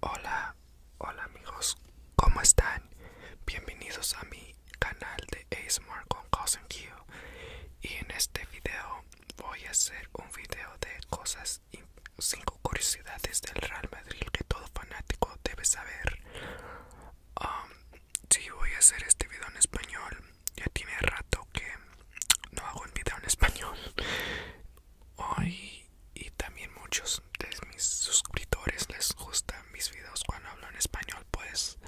Hola, hola amigos, ¿cómo están? Bienvenidos a mi canal de ASMR con Cousin Q. Y en este video voy a hacer un video de cosas y 5 curiosidades del Real Madrid que todo fanático debe saber. Um, si voy a hacer este video en español, ya tiene rato que no hago un video en español hoy y también muchos de mis suscriptores les gustan mis videos cuando hablo en español pues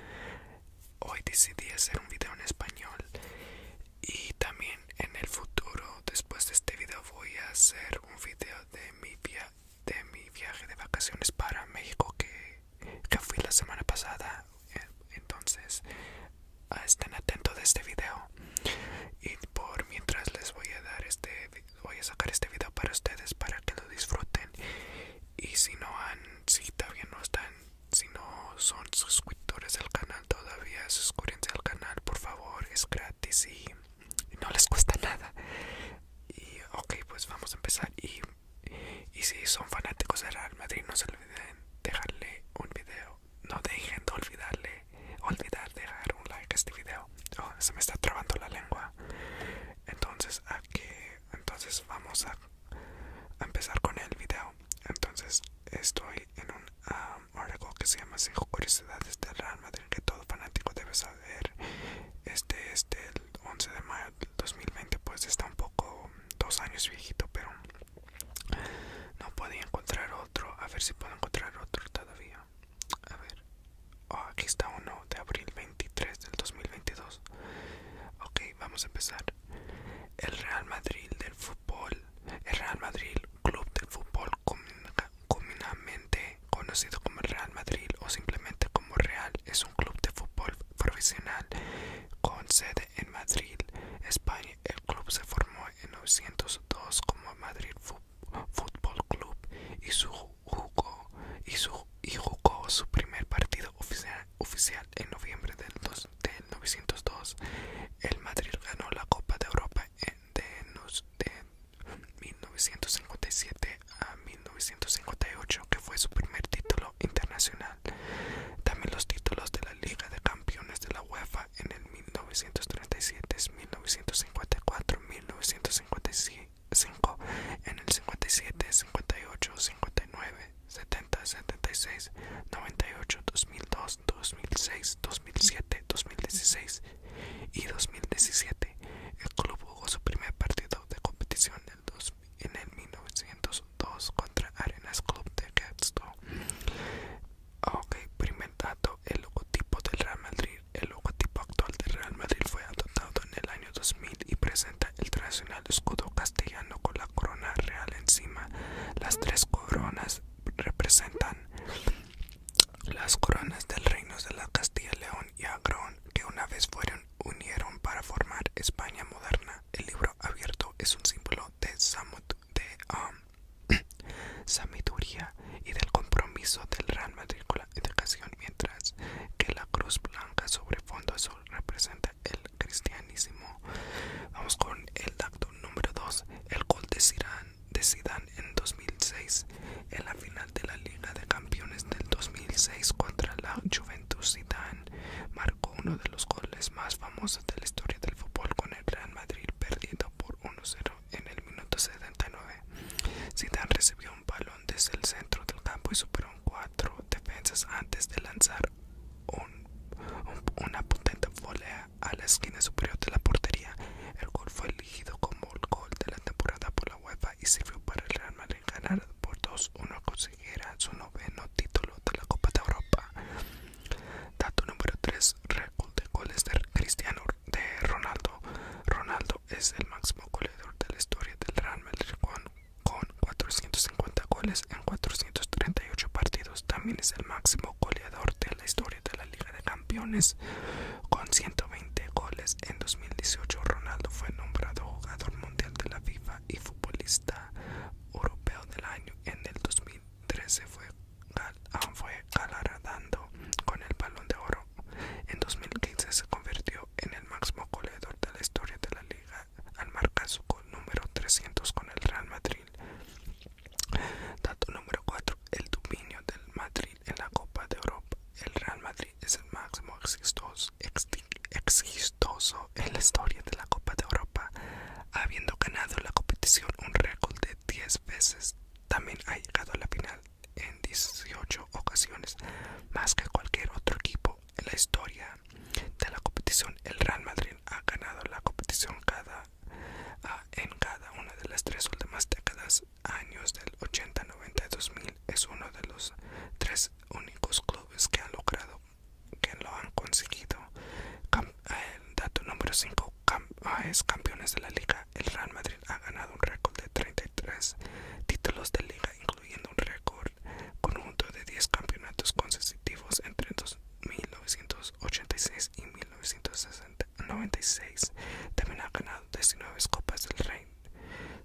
hoy decidí hacer un video en español y también en el futuro después de este video voy a hacer un video de mi, de mi viaje de vacaciones para México que, que fui la semana pasada entonces estén atentos de este video y por mientras les voy a dar este voy a sacar este video para ustedes para que lo disfruten y si no han si todavía no están si no son suscriptores del canal todavía suscríbanse al canal por favor es gratis y no les cuesta nada y ok pues vamos a empezar y, y si son fanáticos de Real Madrid no se olviden dejarle un video no dejen de olvidarle, olvidar dejar un like a este video. Oh, se me está trabando la lengua. Entonces, aquí, entonces vamos a, empezar con el video. Entonces, estoy en un um, article que se llama Cinco curiosidades del Real Madrid que todo fanático debe saber. Este es este, del 11 de mayo del 2020, pues está un poco dos años viejito, pero no podía encontrar otro. A ver si puedo encontrar otro todavía. A ver. Oh, aquí está uno de abril 23 del 2022. Ok, vamos a empezar. El Real Madrid del fútbol. El Real Madrid, club de fútbol comúnmente conocido como Real Madrid o simplemente como Real, es un club de fútbol profesional con sede en Madrid, España. El club se formó en 1902 como Madrid Fútbol Club y, su jugó, y, su, su primer partido oficial, oficial en noviembre del, 902 1902. El Madrid ganó la Copa de Europa en, de, de 1957 a 1958, que fue su primer título internacional. También los títulos de la Liga de Campeones de la UEFA en el 1937, 1954, 1955, en el 57, 58, 59, 70, 76, 98, 2002, 2006, 2007, 2016 y 2017. El club jugó su primer partido de competición en el, 1902 contra Arenas Club de Glasgow Ah, ok, primer dato, el logotipo del Real Madrid. El logotipo actual del Real Madrid fue adoptado en el año 2000 y presenta el tradicional escudo castellano con la corona real encima. Las tres coronas representan las coronas del reino de la Castilla, León y Agrón que una vez fueron unieron para formar España moderna. El libro abierto es un símbolo de Samut de um, sabiduría y del compromiso del Real Matrícula Educación, mientras que la cruz blanca sobre fondo azul representa el cristianismo. Vamos con el acto número 2, el gol de Zidane, de Zidane en 2006, en la final de la Liga de Campeones del 2006 contra la Juventus Zidane, marcó uno de los goles más famosos de la historia del fútbol con el Real Madrid perdido por 1-0 en el minuto 79. Zidane recibió un balón desde el centro del campo y superó cuatro defensas antes de lanzar una potente volea a la esquina superior de la portería. El gol fue elegido como el gol de la temporada por la UEFA y sirvió para el Real Madrid ganar por 2-1 consiguiera su noveno título de la Copa de Europa. Dato número 3. Récord de goles de Cristiano de Ronaldo. Ronaldo es el máximo goleador de la historia del Real Madrid con, 450 goles en 438 partidos. También es el máximo goleador de la historia de la Liga de Campeones con 120 goles. En 2018 Ronaldo fue nombrado jugador mundial de la FIFA y futbolista europeo del año. En el 2013 fue Ah, fue galardando con el Balón de Oro. En 2015 se convirtió en el máximo goleador de la historia de la liga al marcar su gol número 300 con el Real Madrid. Dato número 4. El dominio del Madrid en la Copa de Europa. El Real Madrid es el máximo existoso en la historia de la Copa de Europa habiendo ganado la competición un récord de 10 veces, también ha llegado a la final en 18 ocasiones, más que cualquier otro equipo en la historia de la competición. El Real Madrid ha ganado la competición ah, en cada una de las tres últimas décadas, años del 80, 90 y 2000. Es uno de los tres únicos clubes que han logrado, que lo han conseguido. Eh, dato número 5 ah, es campeones de la liga. El Real Madrid ha ganado un récord de 33 títulos de liga, incluyendo un récord conjunto de 10 campeonatos consecutivos entre 1986 y 1996. También ha ganado 19 Copas del Rey,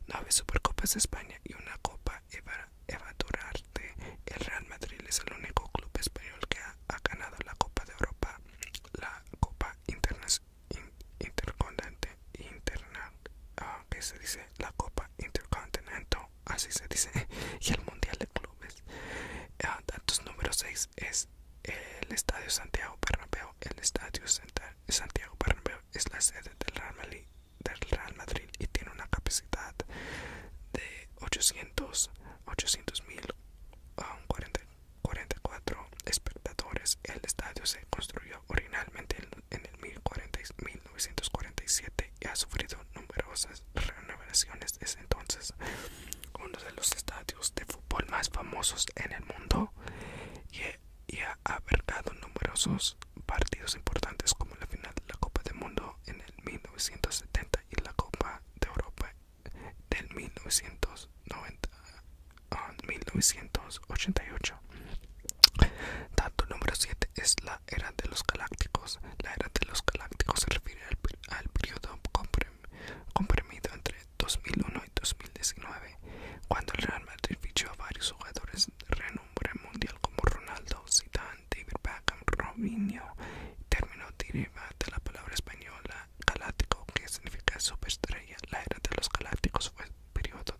9 Supercopas de España y una Copa Eva El Real Madrid es el único club español que ha ha ganado la Copa de Europa, la Copa Intercontinental, interna, ah, que se dice la Copa Intercontinental, así se dice, y el Mundial de Clubes. datos ah, número 6 es el Estadio Santiago Bernabéu. El Estadio Santiago Bernabéu es la sede del Real Madrid y tiene una capacidad de 800 800.000 44 ah, espectadores. El estadio se construyó originalmente en el 1947 y ha sufrido numerosas renovaciones es entonces. Uno de los estadios de fútbol más famosos en el mundo y ha abarcado numerosos partidos importantes como la final de la Copa del Mundo en el 1970 y la Copa de Europa del 1990, 1988. Ah, Dato número 7 es la era de los galácticos. La era de los galácticos se refiere al, al periodo comprimido entre 2001 y 2019, cuando el Real Madrid fichó a varios jugadores de renombre mundial como Ronaldo, Zidane, David Beckham, Robinho. Término deriva de la palabra española galáctico, que significa superestrella. La era de los galácticos fue un periodo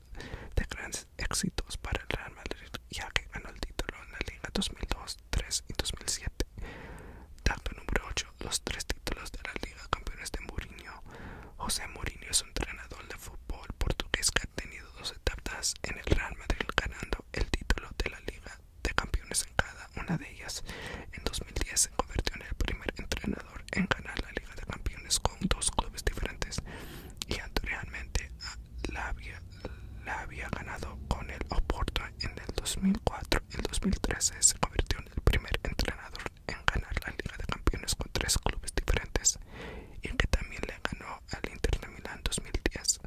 de grandes éxitos para el Real Madrid, ya que ganó el título en la Liga 2002, 3 y 2007. tacto número 8. Los tres títulos de la Liga Campeones de Mourinho. José Mourinho es un entrenador de fútbol portugués que ha tenido dos etapas en el Real Madrid ganando el título de la Liga de campeones en cada una de ellas. En 2010 se convirtió en el primer entrenador en ganar la Liga de Campeones con dos clubes diferentes y anteriormente la había, ganado con el Oporto en el 2004. En 2013 se convirtió en el primer entrenador en ganar la Liga de Campeones con tres clubes diferentes y que también le ganó al Inter de Milán 2010.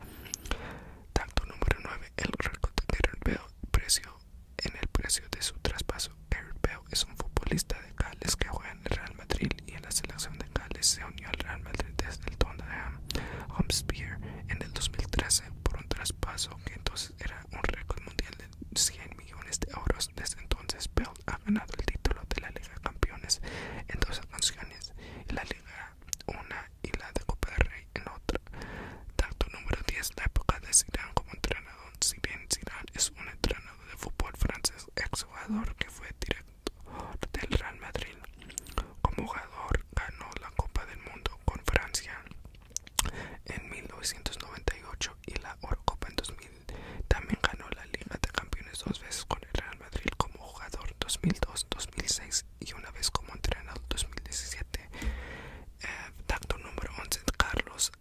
Tanto número 9 el de precio en el precio de su traspaso. Bell es un futbolista de Gales que juega en el Real Madrid y en la selección de Gales se unió al Real Madrid desde el Tottenham Hotspur en el 2013 por un traspaso que entonces era un récord mundial de 100 millones de euros. Desde entonces, Bell ha ganado el título de la Liga de Campeones en dos ocasiones, la Liga 1 y la de Copa del Rey en otra. Tacto número 10. La época de Zidane como entrenador. Si bien Zidane es un entrenador de fútbol francés, jugador que fue director del Real Madrid. Como jugador ganó la Copa del Mundo con Francia en 1998 y la Eurocopa en 2000. También ganó la Liga de Campeones dos veces con el Real Madrid como jugador 2002, 2006 y una vez como entrenador 2017. Eh, número 11, Carlos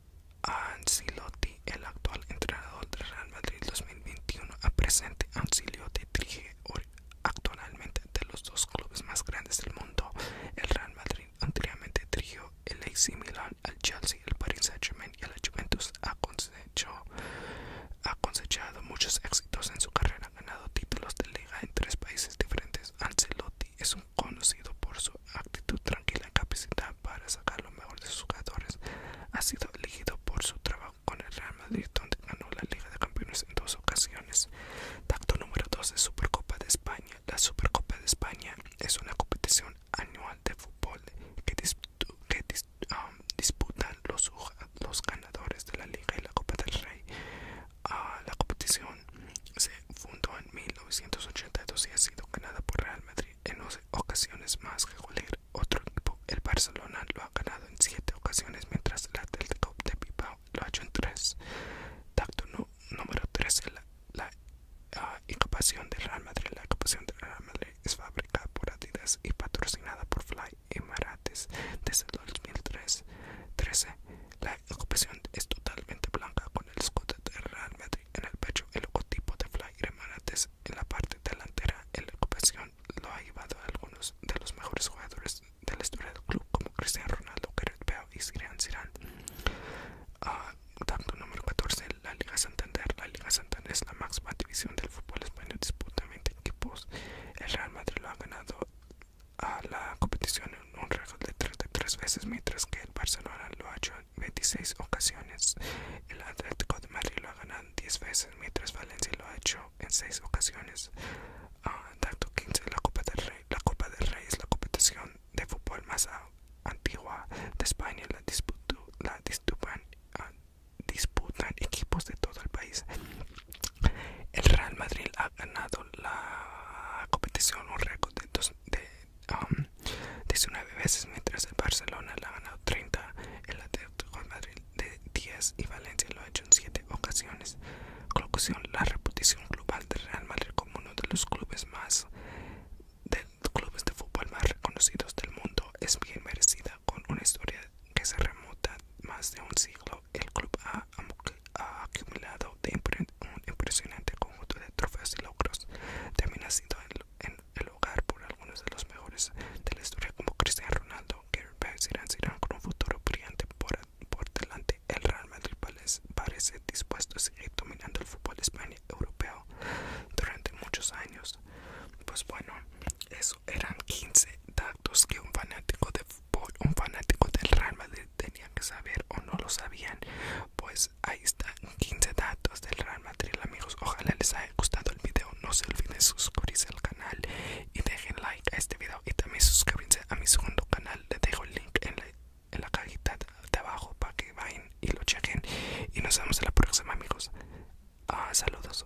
Ancelotti, el actual entrenador del Real Madrid 2021 a presente. Ancelotti dirige actualmente de los dos clubes más grandes del mundo. El Real Madrid anteriormente dirigió el AC Milan, el Chelsea, el Paris Saint-Germain y el Juventus. Ha, ha cosechado muchos éxitos en su carrera ganado títulos de liga en tres países diferentes. Ancelotti es un conocido por su actitud tranquila y capacidad para sacar lo mejor de sus jugadores. Ha sido elegido por su trabajo con el Real Madrid, donde ganó la Liga de Campeones en dos ocasiones. Tacto número 2 de Supercopa de España. La Supercopa de España es una competición anual de fútbol que, um, disputan los ganadores de la Liga y la Copa del Rey la competición se fundó en 1982 y ha sido ganada por Real Madrid en 11 ocasiones más que cualquier otro equipo. El Barcelona lo ha ganado en 7 ocasiones, mientras el Atlético de Bilbao lo ha hecho en 3. Tacto número 3. La, la ah, de Real Madrid. La ocupación de Real Madrid es fabricada por Adidas y patrocinada por Fly y Marates desde el 2013. La ocupación es totalmente blanca con el escudo de Real Madrid en el pecho, el logotipo de y Marates en la parte delantera. La ocupación lo ha llevado a algunos de los mejores jugadores de la historia del club, como Cristiano Ronaldo, Gareth Bale y Zidane. Ah, tanto número 14, la Liga Santander. La Liga Santander es la máxima división del fútbol español, disputa 20 equipos. El Real Madrid lo ha ganado la competición en un récord de 33 veces, mientras que el Barcelona lo ha hecho en 26 ocasiones. El Atlético de Madrid lo ha ganado 10 veces, mientras Valencia lo ha hecho en 6 ocasiones. Uh, ah, 15, la Copa del Rey. La Copa del Rey es la competición de fútbol más antigua de España. La, la disputan, ah, disputan equipos de todo el país. El Real Madrid ha ganado la competición un récord de, 19 um, veces, mientras el Barcelona la ha ganado 30, el Atlético de Madrid de 10 y Valencia lo ha hecho en 7 ocasiones. Conclusión, la reputación global del Real Madrid como uno de los clubes más de clubes de fútbol más reconocidos del mundo es bien merecida con una historia que se remonta más de un siglo el club ha, acumulado un impresionante conjunto de trofeos y logros. También ha sido en, el hogar por algunos de los mejores de la historia, como Cristiano Ronaldo, Gary y con un futuro brillante por, delante. El Real Madrid parece dispuesto a seguir dominando el fútbol español y europeo durante muchos años. Pues bueno, eso eran 15 datos que un fanático de fútbol por un fanático del Real Madrid tenían que saber o no lo sabían. Pues ahí están 15 datos del Real Madrid, amigos. Ojalá les haya gustado el video. No se olviden suscribirse al canal y dejen like a este video. Y también suscribirse a mi segundo canal. Les dejo el link en la, cajita de abajo para que vayan y lo chequen. Y nos vemos en la próxima, amigos. Ah, saludos.